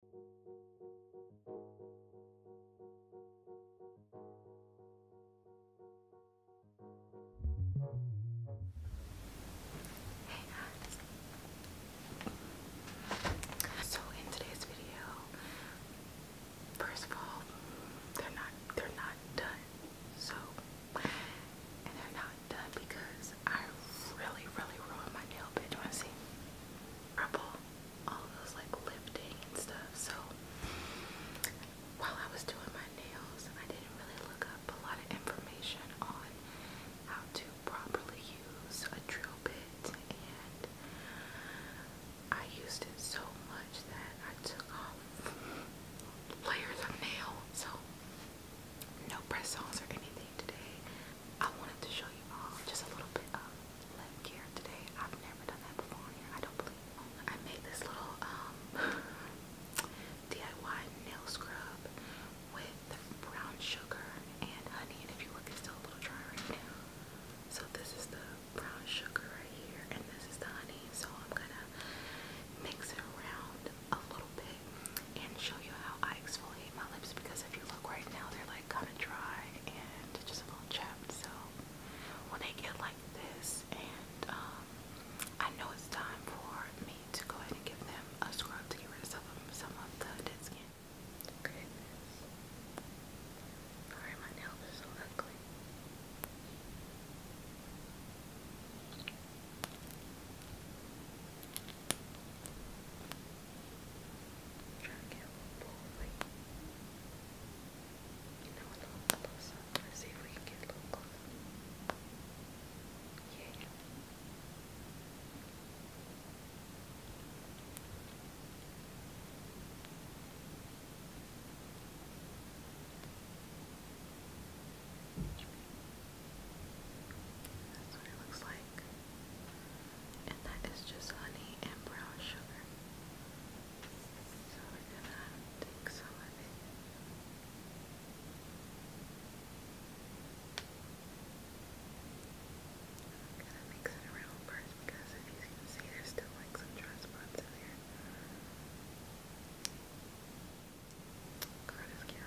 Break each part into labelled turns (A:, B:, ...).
A: So in today's video, first of all, they're not they're not done. So and they're not done because I really, really ruined my nail bed. Do you wanna see? purple, all those like lifting and stuff. So while I was doing my nails, I didn't really look up a lot of information on how to properly use a drill bit, and I used it so much that I took off layers of nail. So no press-ons or anything today. I wanted to show you all just a little bit of lip care today. I've never done that before I don't believe. I made this little um, DIY nail scrub with brown sugar and honey. And if you look, it's still a little dry right now. So this is the brown sugar right here, and this is the honey. So I'm gonna mix it around a little bit and show you how I exfoliate my lips because if you look right now, they're like kind of dry and just a little chapped. So when they get like this, and um, I know it's time for me to go ahead and give them a scrub to get rid of some of, some of the dead skin. Okay. Sorry, my nails are so ugly. Trying to get a little boldly. You know, a little closer. Let's see if we can get a little closer. Yeah. That's what it looks like. And that is just honey and brown sugar. So we're gonna take some of it. gonna mix it around first because if you can see there's still like some dry spots in there. God is cute.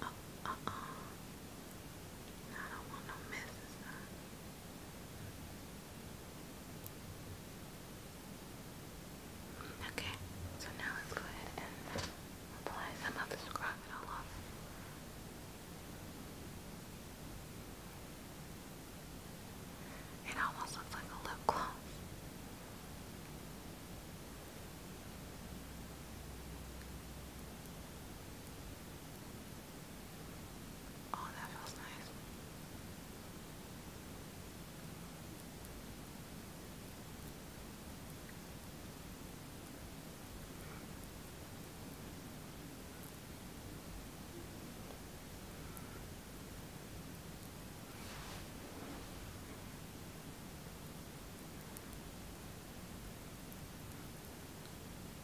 A: Uh, uh, uh. I don't want no messes. Huh? Okay, so now let's go ahead and apply some of this rocket all over. It almost looks like a lip gloss. Oh, that feels nice.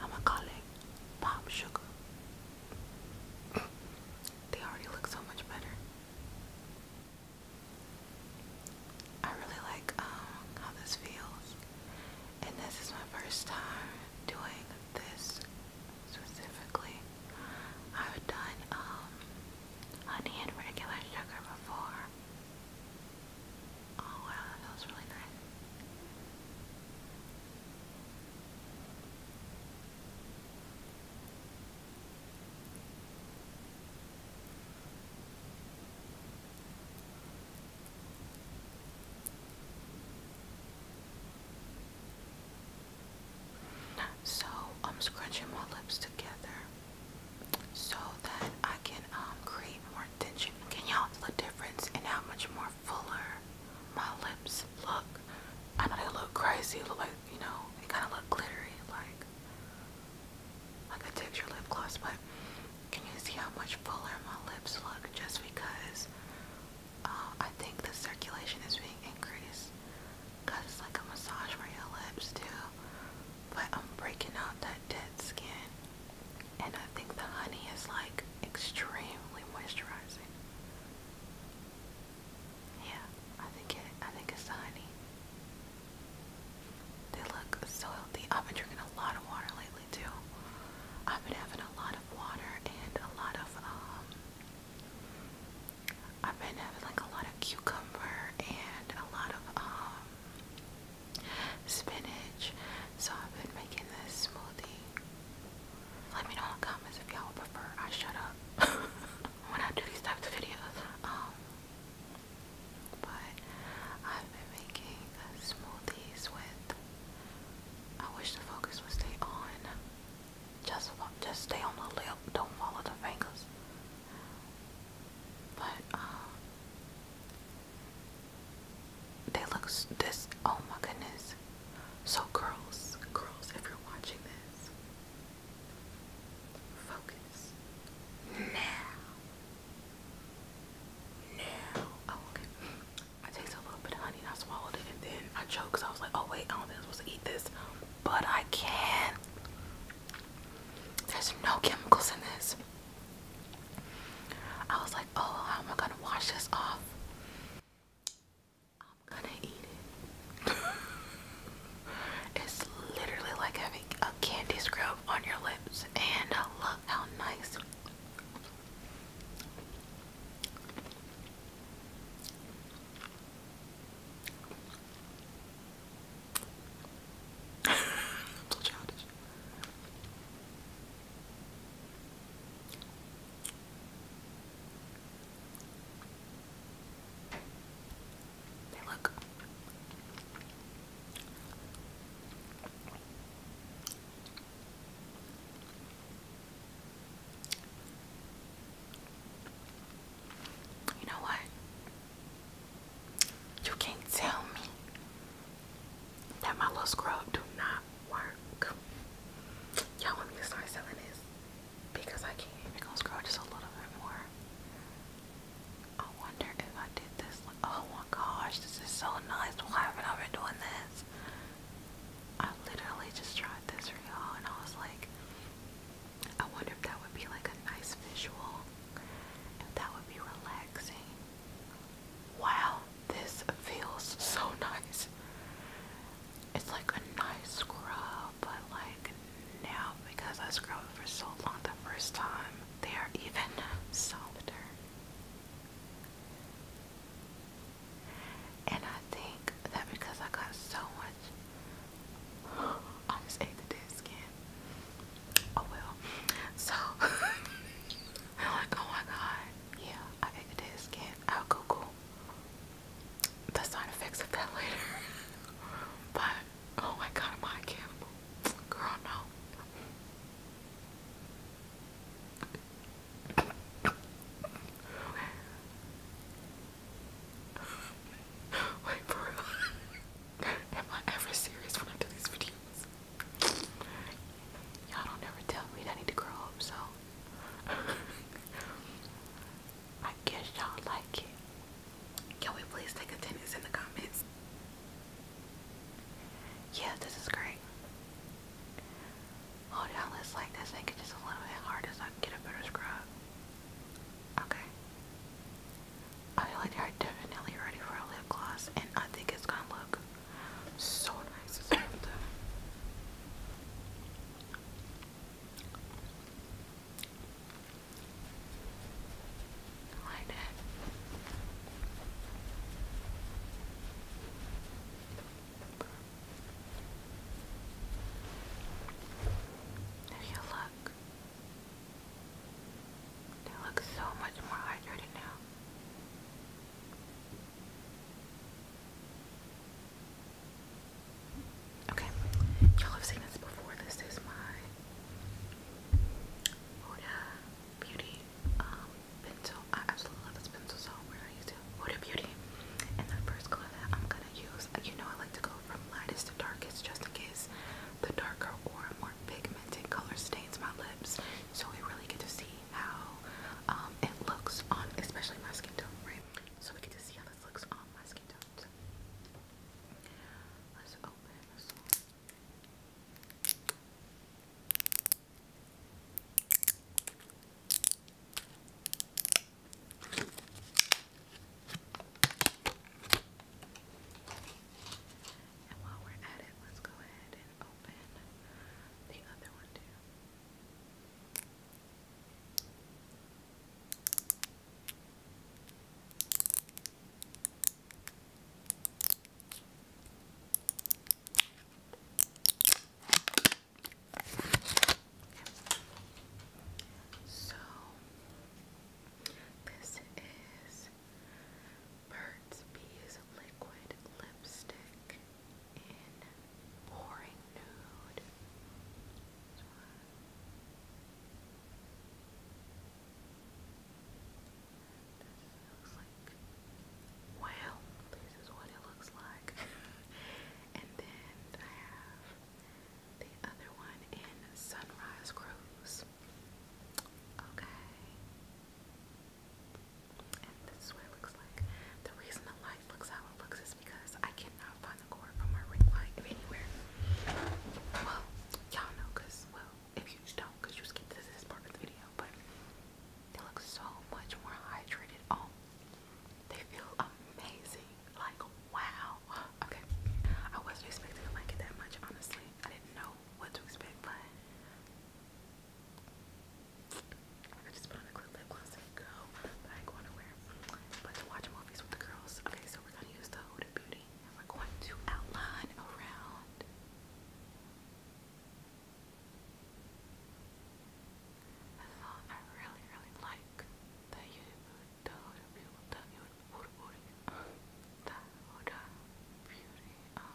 A: I'm gonna call Sugar. they already look so much better. I really like um, how this feels, and this is my first time doing this specifically. I've done um, honey and regular sugar before. Oh wow, that feels really nice. So I'm scrunching my lips together so that I can um, create more tension. Can y'all the difference in how much more fuller my lips look? I know they look crazy, look like, you know, they kind of look glittery, like, like a texture lip gloss, but can you see how much fuller my lips look just because uh, I think the circulation is being increased? Because it's like a massage for your lips, too. But I'm breaking out that dead skin, and I think the honey is like extremely moisturizing. Yeah, I think it. I think it's the honey. They look so healthy. I've been drinking a lot of water lately too. I've been having a lot of water and a lot of um. I've been having like a lot of cucumber and a lot of um spinach. So I've been making this smoothie. Let me know in the comments if y'all prefer I shut up when I do these types of videos. Um, but I've been making smoothies with. I wish the focus would stay on. Just, just stay on the lip. Don't follow the fingers. But um, they look this. Oh my goodness! So girls, girls, if you're watching this. Focus. Now. Now. Oh, okay. I tasted a little bit of honey and I swallowed it and then I choked because I was like, oh wait, I don't think I'm supposed to eat this. But I can. not There's no chemicals in this. I was like, oh, how am I gonna wash this off? I'm gonna eat it. it's literally like having a candy scrub on your lips, and look how nice. I'm so childish you know what? You can't tell me that my little scrub do not work. Y'all want me to start selling this? Because I can't. we just a little bit more. I wonder if I did this. Like, Oh my gosh, this is so nice. Why haven't I been doing this? I literally just tried this for y'all and I was like, I wonder if that would be like a nice visual. If that would be relaxing. Wow, this feels so nice. It's like a nice scrub, but like now because I scrubbed for so long the first time, they are even softer. And I think that because I got so much, I just ate the dead skin. Oh well. So, I'm like, oh my god, yeah, I ate the dead skin. I'll Google the side effects of that later. but oh my god, am I a cannibal? Girl, no. Wait for real. Am I ever serious when I do these videos? Y'all don't ever tell me that I need to grow up, so I guess y'all like it. Can we please take attendance in the comments? Yeah, this is great. Hold on, let like this make it just a little bit harder so I get a better scrub. Okay. I feel like they're definitely ready for a lip gloss and I think it's gonna look so nice is over there. If you look, they look so much more hydrated now. Okay, y'all have seen this before. This is my Huda Beauty um, pencil. I absolutely love this pencil, so we're Beauty. And the first color I'm gonna use, uh, you know, I like to go from lightest to darkest just in case the darker or more pigmented color stains my lips, so we really get to see how um, it looks on, especially my skin tone, right? So we get to see how this looks on my skin tone. let's open this one. And while we're at it, let's go ahead and open the other one too. So this is Burt's Bees Liquid Lipstick in Pouring Nude. This one. looks like, well, this is what it looks like. and then I have the other one in Sunrise Cruise. Okay this is what it looks like. The reason the light looks how it looks is because I cannot find the cord from my ring light anywhere. Well, y'all know because, well, if you don't because you skipped this, this part of the video, but they look so much more hydrated. Oh, they feel amazing. Like, wow. Okay. I wasn't expecting to like it that much, honestly. I didn't know what to expect, but I just put on a quick lip gloss and but I ain't going nowhere. But to watch movies with the girls. Okay, so we're gonna use the Huda Beauty and we're going to outline around I thought I really, really like the Huda the Huda Beauty, the Huda Beauty, um,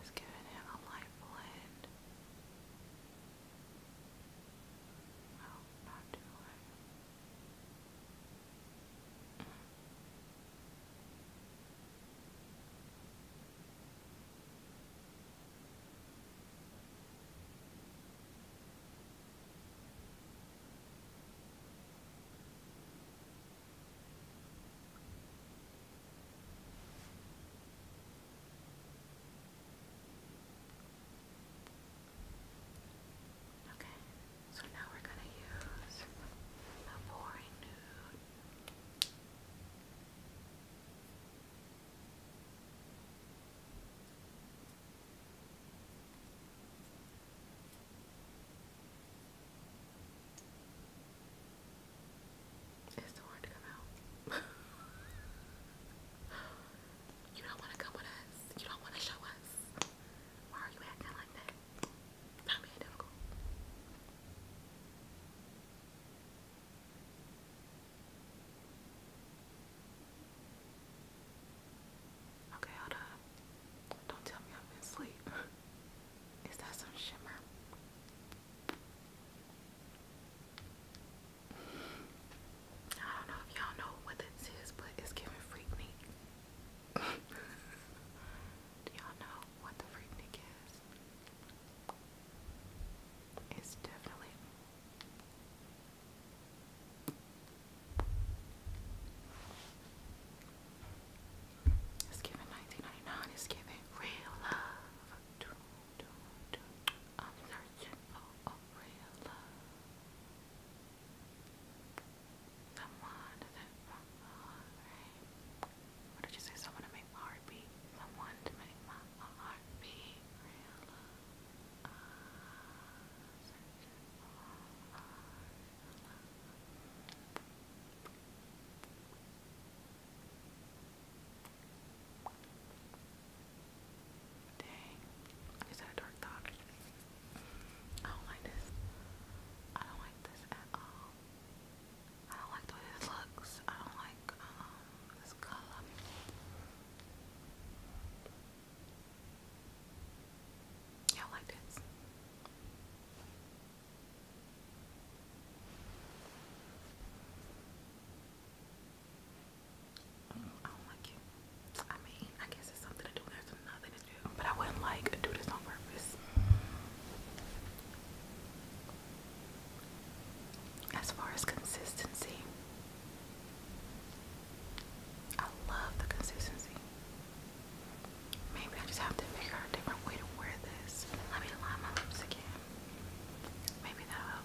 A: Just giving it a light blend. No, oh, not too light. Okay, so now we're going to use a boring nude is the word come out? you don't want to come with us. You don't want to show us. Why are you acting like that? Okay, hold Don't tell me I'm asleep. Is that some shimmer? I don't know if y'all know what this is, but it's giving freak me. Do y'all know what the Freaknik is? It's definitely it's given 1999. It's giving real love. I'm searching for real love. Someone to make my heart What did you say? Someone to make my heart beat. Someone to make my heart beat. Real Dang, is that a dark thought? I don't like this. I don't like this at all. I don't like the way it looks. I don't like um, this color. Y'all like this? Mm, I don't like it. I mean, I guess it's something to do with nothing to do, but I wouldn't like do this on purpose. As far as consistency, I love the consistency. Maybe I just have to figure out a different way to wear this. Let me line my lips again. Maybe that'll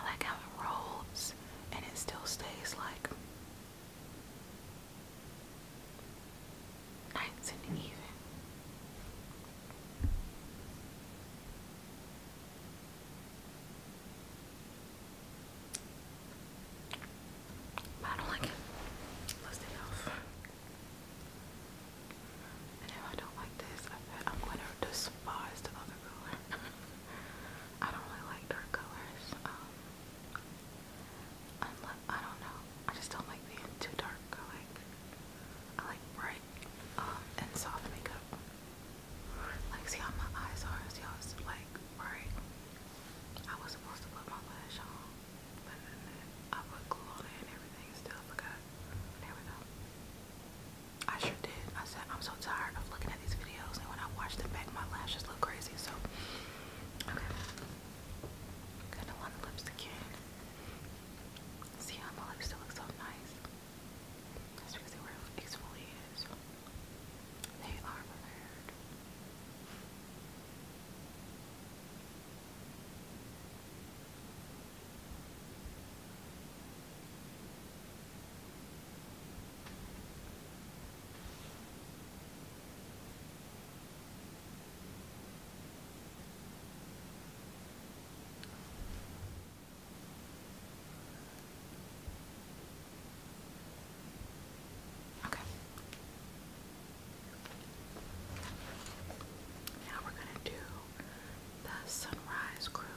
A: I like how it rolls and it still stays like nights and even. But I don't like it. Let's take off. I don't like this, I am going to despise the other color. I don't really like dark colors. Um, I don't know. I just don't like being too dark. I like, bright um, and soft makeup. Like, see how my eyes are? See how it's like bright? I was supposed to put my lash on, but then I put glue on it and everything still forgot. There we go. I sure did. I said I'm so tired of looking at these videos, and when I watch them back, my lashes look crazy. So, okay. Gonna line the lips again. See how my lips still look so nice. That's because they were exfoliated. So. They are prepared. Okay. Now we're going to do the sunrise cruise.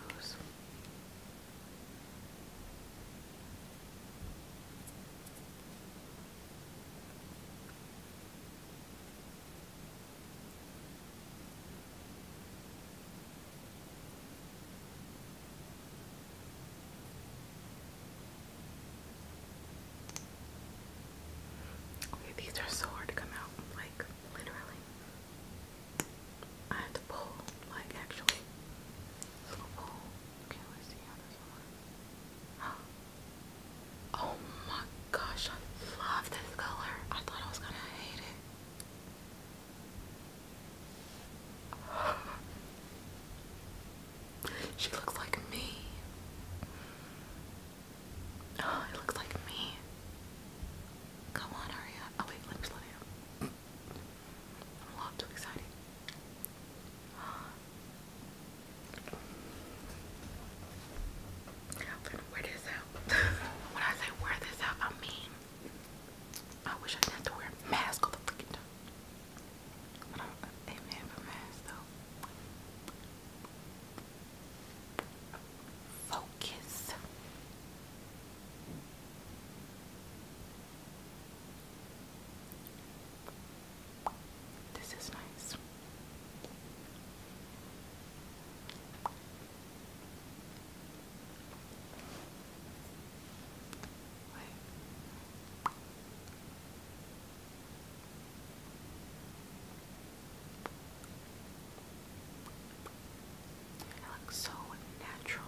A: Okay, these are so hard to come out, like literally. I had to pull, like actually. This little pull. Okay, let's see how this one Oh my gosh, I love this color. I thought I was gonna hate it she looks like me. Oh, it looks like me. Come on, hurry up. Oh wait, let I'm a lot too excited. I'm going when I say wear this out, I mean I wish I did to wear a mask all the freaking time. Amen for mass though. Focus. This is nice. It looks so natural.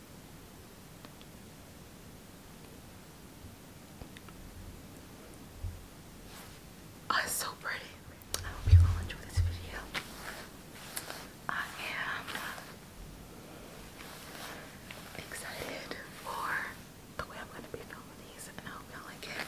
A: Oh, it's so pretty. I hope you all enjoy this video. I am excited for the way I'm going to be filming these, and I hope you like it.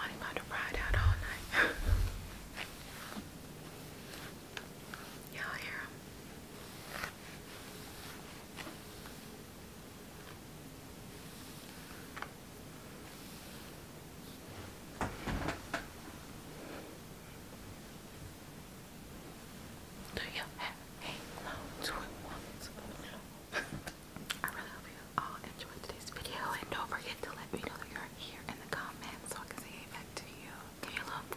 A: I'm about to ride out all night. Y'all hear him? Do you I really hope you all enjoyed today's video and don't forget to let me know that you're here in the comments I can say back to you. Give me love.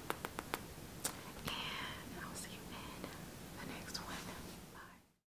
A: And I'll see you in the next one. Bye.